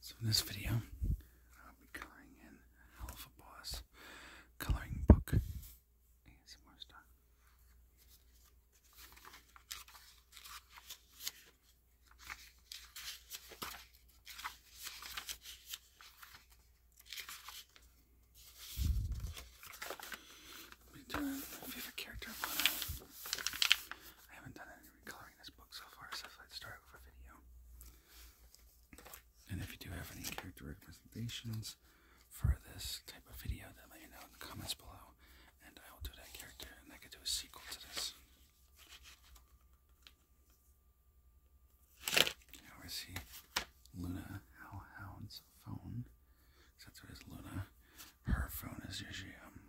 so in this video, I'll be coloring in Hell Boss coloring book ASMR style favorite character I haven't done any recoloring this book so far, so I'd start with a video. And if you do have any character representations for this type of video, then let me know in the comments below, and I will do that character, and I could do a sequel to this. You know, see Luna How phone, that's what Luna, her phone is usually um,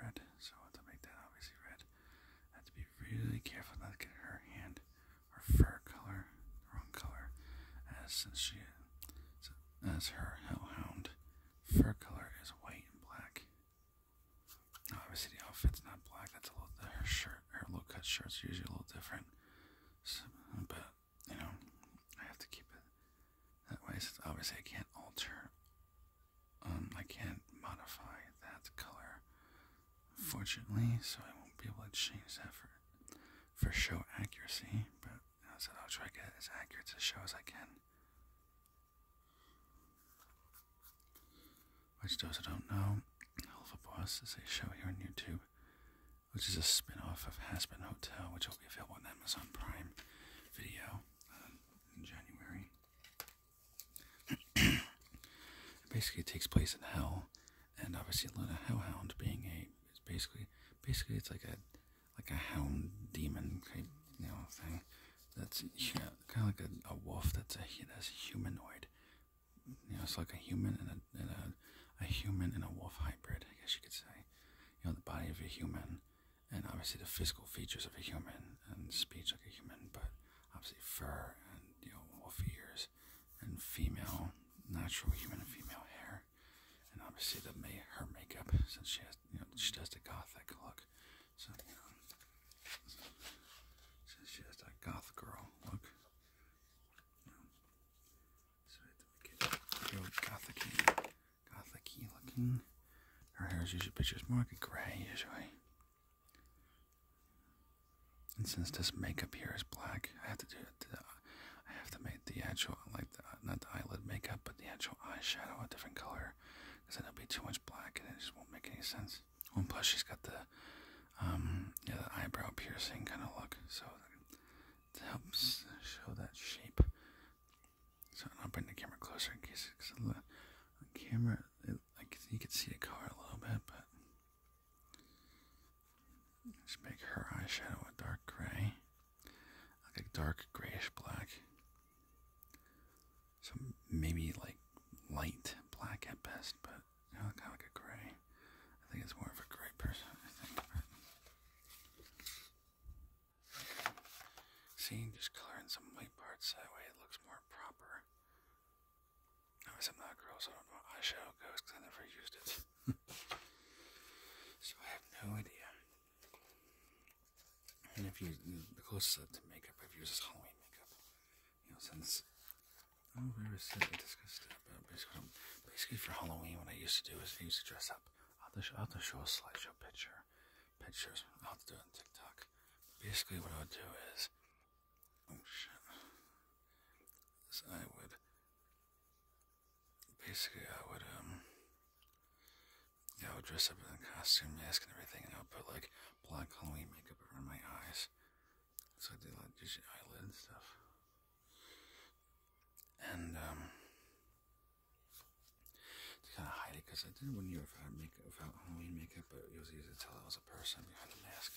red, so to make that obviously red. I to be really careful not to get her hand or fur color the wrong color, as since she as her hellhound fur color is white and black. obviously, the outfit's not black. That's a little her shirt, her low cut shirt's usually a little different, but you know, I have to keep it that way since obviously I can't alter, um, I can't modify that color, fortunately, so I won't be able to change that for, for show accuracy, but I said I'll try to get as accurate to show as I can. Which those who don't know, Hell of a Boss is a show here on YouTube which is a spin-off of Hasbin Hotel, which will be available on Amazon Prime Video uh, in January. basically, it takes place in Hell, and obviously, Luna Hellhound being a it's basically basically it's like a like a hound demon type you thing that's yeah, kind of like a, wolf that's a humanoid. You know, it's like a human and and a a human and a wolf hybrid, I guess you could say. You know, the body of a human, and obviously the physical features of a human, and speech like a human, but obviously fur and you know wolf ears, and female natural human and female hair, and obviously the her makeup since she has you know she does the gothic look, so you know she has that goth girl look so that we could gothic gothicy looking. Her hair is usually, but she's more like a gray usually. And since this makeup here is black, I have to do uh, I have to make the actual, like, not the eyelid makeup, but the actual eyeshadow a different color, because then it'll be too much black, and it just won't make any sense. Oh, and plus she's got the, um, yeah, the eyebrow piercing kind of look, so it helps show that shape. So I'll bringing the camera closer in case it's on the on camera. like you can see the car a little bit, but just make her eyeshadow a dark gray, like a dark grayish black. So maybe like light black at best, but kind kind of like a gray. I think it's more of a gray person. I think. But... just coloring some white parts that way it looks more proper. I'm not a girl, so I don't know eyeshadow goes I never used it. so I have no idea. And if you, the closest to makeup I've used is Halloween makeup. You know, since Oh, we were sitting discussed about basically, for Halloween. What I used to do is I used to dress up. I'll I'll show a slideshow picture, pictures. I'll do on TikTok. Basically, what I would do is, oh shit, is I would basically I would um. Yeah, I would dress up in a costume, mask, and everything, and I would put like black Halloween makeup around my eyes, so I did like just eyelid stuff. And um to kind of hide it, because I did one year make makeup, without make up, but it was easy to tell I was a person behind a mask.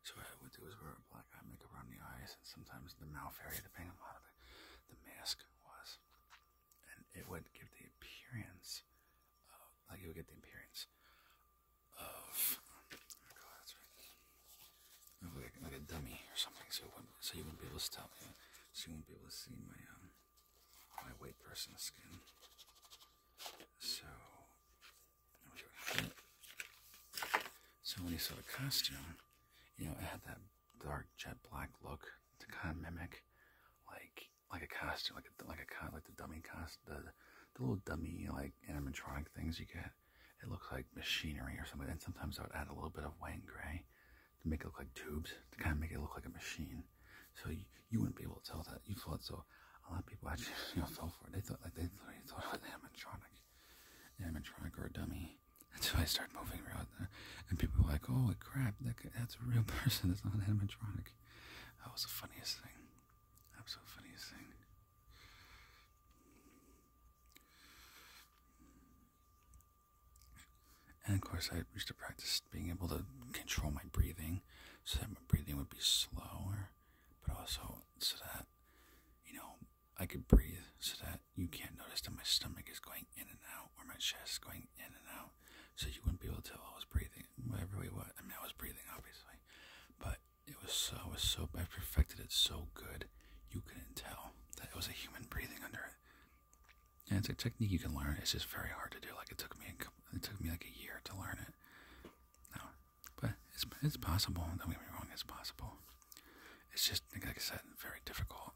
So what I would do is wear a black eye makeup around the eyes and sometimes the mouth area, depending on how the, the mask was. And it would give the appearance, of, like you would get the appearance of oh, like, a dummy or something, so you wouldn't, so you wouldn't be able to tell me, so you wouldn't be able to see my um, my white person's skin. So, so when you saw the costume, you know it had that dark jet black look to kind of mimic, like like a costume, like a, like a like the dummy cost the the little dummy like animatronic things you get it looks like machinery or something. And sometimes I would add a little bit of white and gray to make it look like tubes, to kind of make it look like a machine. So you, wouldn't be able to tell that you thought so. A lot of people actually you fell for it. They thought like they thought, it was an animatronic, animatronic or a dummy. until I started moving around and people were like, "Oh crap, that's a real person. That's not an animatronic." That was the funniest thing. Absolute funniest thing. And of course, I used to practice being able to control my breathing so that my breathing would be slower, but also so that, you know, I could breathe so that you can't notice that my stomach is going in and out or my chest is going in and out. So you wouldn't be able to tell I was breathing, whatever way what. I mean, I was breathing, obviously, but it was so, so, I perfected it so good, you couldn't tell that it was a human breathing under it. And it's a technique you can learn. It's just very hard to do. Like it took me, it took me like a year to learn it. No, but it's possible. Don't get me wrong, it's possible. It's just like I said, very difficult.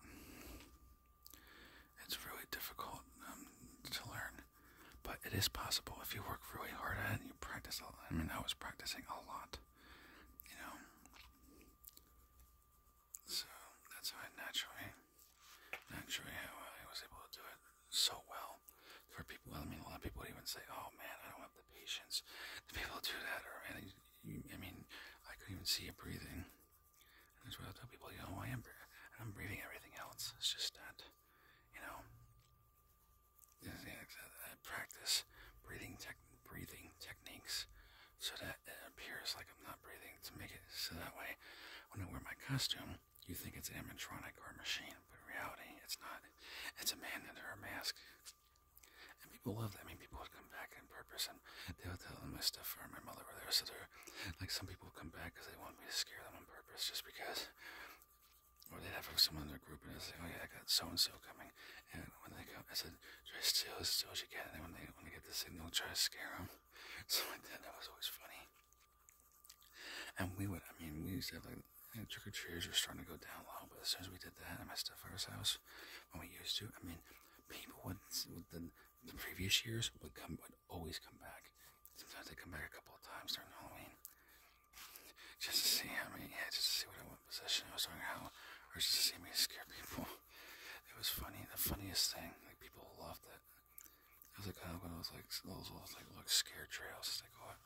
It's really difficult um, to learn, but it is possible if you work really hard and you practice a lot. I mean, I was practicing a lot, you know. So that's how naturally, naturally I was able to do it so well. For people, I mean, a lot of people even say, "Oh man, I don't have the patience." The people do that, or I mean, I couldn't even see you breathing. that's what I tell people, you know, oh, I am, I'm breathing everything else. It's just that you know, uh, I practice breathing tech, breathing techniques so that it appears like I'm not breathing to make it so that way when I wear my costume, you think it's animatronic or a machine, but in reality, it's not. It's a man under a mask. And people love that. I mean, people would come back on purpose, and they would tell them my stuff or my mother were there. So they're like, some people come back because they want me to scare them on purpose, just because or they'd have someone in their group and say, "Oh yeah, I got so and so coming." And when they come, I said, "Try to steal as steal as you can." And when they when they get the signal, try to scare them. So like that. That was always funny. And we would, I mean, we used to have like you know, trick or treaters were starting to go down low, but as soon as we did that at my stepfather's house, when we used to, I mean, people would the, the previous years would come would always come back. Sometimes they come back a couple of times during Halloween just to see, I mean, yeah, just to see what, what position I was talking about, or just to see me scare people. It was funny, the funniest thing, like, people loved it. It was like, uh, one of those, like, those little, like, look, scare trails, as they call it.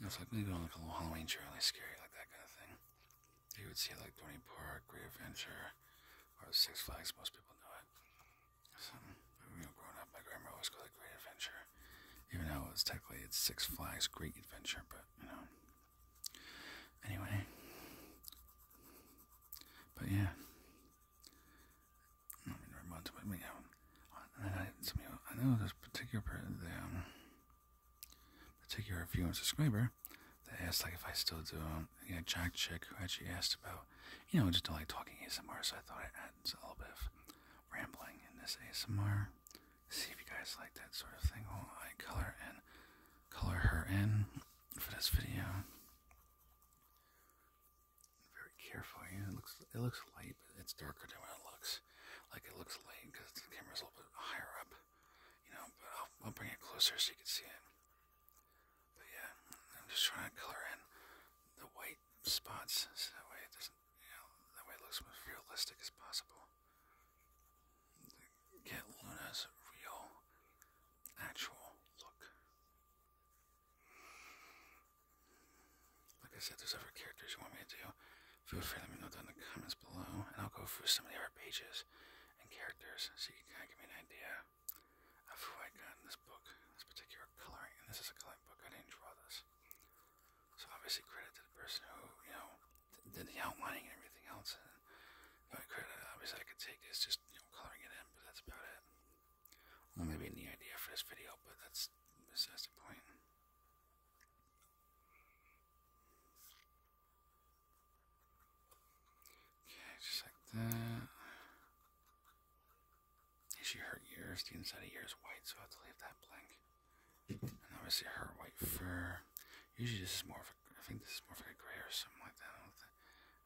It was like, maybe on, like, a little Halloween trail, like, scary, like, that kind of thing. You would see, like, Tony Park, Great Adventure, or Six Flags, most people know it. So, you know, growing up, my grandma always called it Great Adventure. Even though it was technically it's Six Flags Great Adventure, but you know. Anyway. But yeah. I me, um, and I, some, know, I know this particular the um, particular viewer subscriber that asked like if I still do um, Yeah, Jack Chick who actually asked about you know just like talking ASMR so I thought I'd add a little bit of rambling in this ASMR. See if you guys like that sort of thing. Well, I color and color her in for this video. Very carefully. It looks it looks light, but it's darker than what it looks. Like it looks light because the camera is a little bit higher up, you know. But I'll, I'll bring it closer so you can see it. But yeah, I'm just trying to color in the white spots so that way it doesn't you know, that way it looks as realistic as possible. Get Luna's real, actual look. Like I said, there's other characters you want me to do. Feel free to let me know down in the comments below, and I'll go through some of the other pages and characters so you can kind of give me an idea of who I got in this book, this particular coloring. And this is a coloring book, I didn't draw this. So obviously credit to the person who, you know, did the outlining and everything else. And the credit obviously I could take is just, you know, coloring it in, but that's about it. Well, maybe in idea for this video, but that's besides the point. Okay, just like that. She hurt yours, the inside of yours white, so I have to leave that blank. And obviously her white fur. Usually this is more of a, I think this is more of a gray or something like that.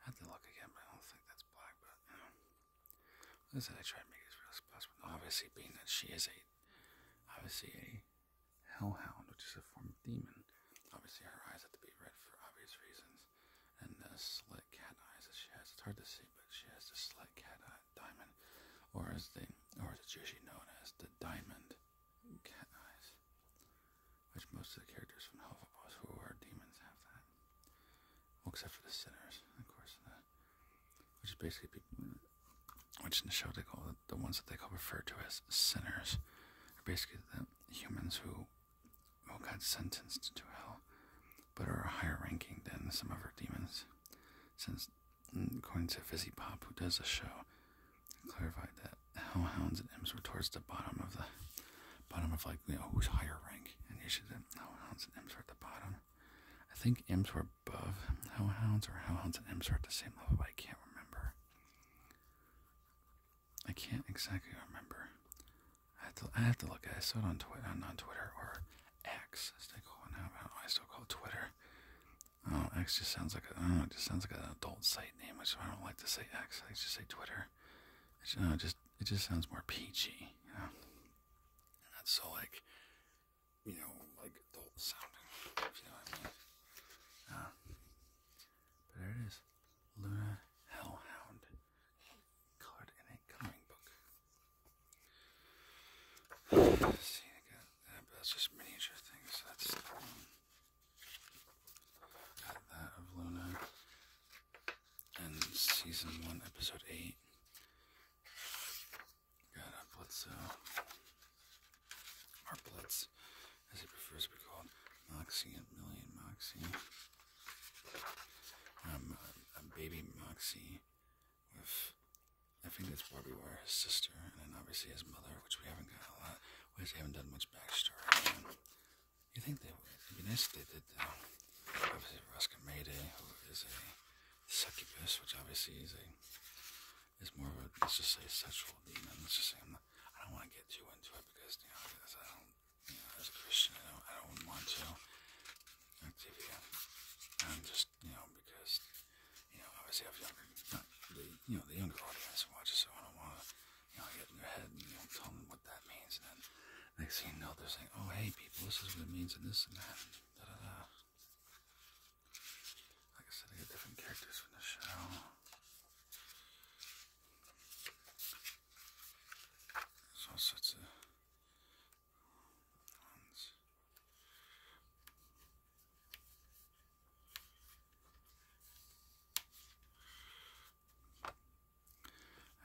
I, have to look again, but I don't think that's black, but you know. Listen, I try to make it as real as possible. Obviously being that she is a, obviously a hellhound, which is a form of demon. Obviously her eyes have to be red for obvious reasons. And the slit cat eyes that she has, it's hard to see but she has the slight cat eye diamond, or as the or as it's known as the diamond cat eyes, which most of the characters from Hufflepuff who are demons have that. except for the sinners, of course, the, uh, which is basically which in the show they call the, ones that they call referred to as sinners, are basically the humans who who got sentenced to hell but are a higher ranking than some of our demons. Since, according to Fizzy Pop, who does the show, clarified that hellhounds and imps were towards the bottom of the bottom of like who's higher rank, and usually the hellhounds and imps are at the bottom. I think imps were above hellhounds, or hellhounds and imps were at the same level, but I can't remember. I can't exactly remember. I have to, I have to look at it. I saw it on Twitter, not Twitter, or X, as they it now. I, still call Twitter. Oh, X just sounds like a, I don't know, it just sounds like an adult site name, which I don't like to say X. I just say Twitter. you know, it just it just sounds more peachy, you know. Not so like, you know, like adult sounding. you know what I mean. Uh, but there it is, Luna Hellhound card in a coloring book. See, I uh, that's just miniature things. That's um, got that of Luna and season one, episode eight. Got a Blitzo, or Blitz, as it prefers to be called, Moxie and Million Moxie. Um, a, baby Moxie with, I think that's Barbie Wire, his sister, and then obviously his mother, which we haven't got a lot. We haven't done much backstory on. You think they would? It'd be nice if they did, though. Obviously, Ruskin Mayday, who is a succubus, which obviously is a is more of a let's just say sexual demon. Let's just say I'm not, I don't want to get too into it because you know I don't you know, as a Christian, I don't, I don't want to Activia. I'm just, you know, because, you know, obviously I have younger, not the, you know, the younger audience watches, so I don't want to, you know, get in their head and, you know, tell them what that means. And then next thing you know, they're saying, oh, hey, people, this is what it means and this and that. And da, da, da. Like I said, I get different characters from the show. There's all sorts of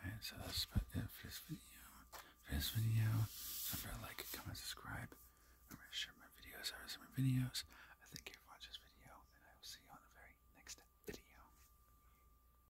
Alright, so that's about it for this video. For this video, remember to like, comment, subscribe. Remember to share my videos. I my videos. I thank you for watching this video, and I will see you on the very next video.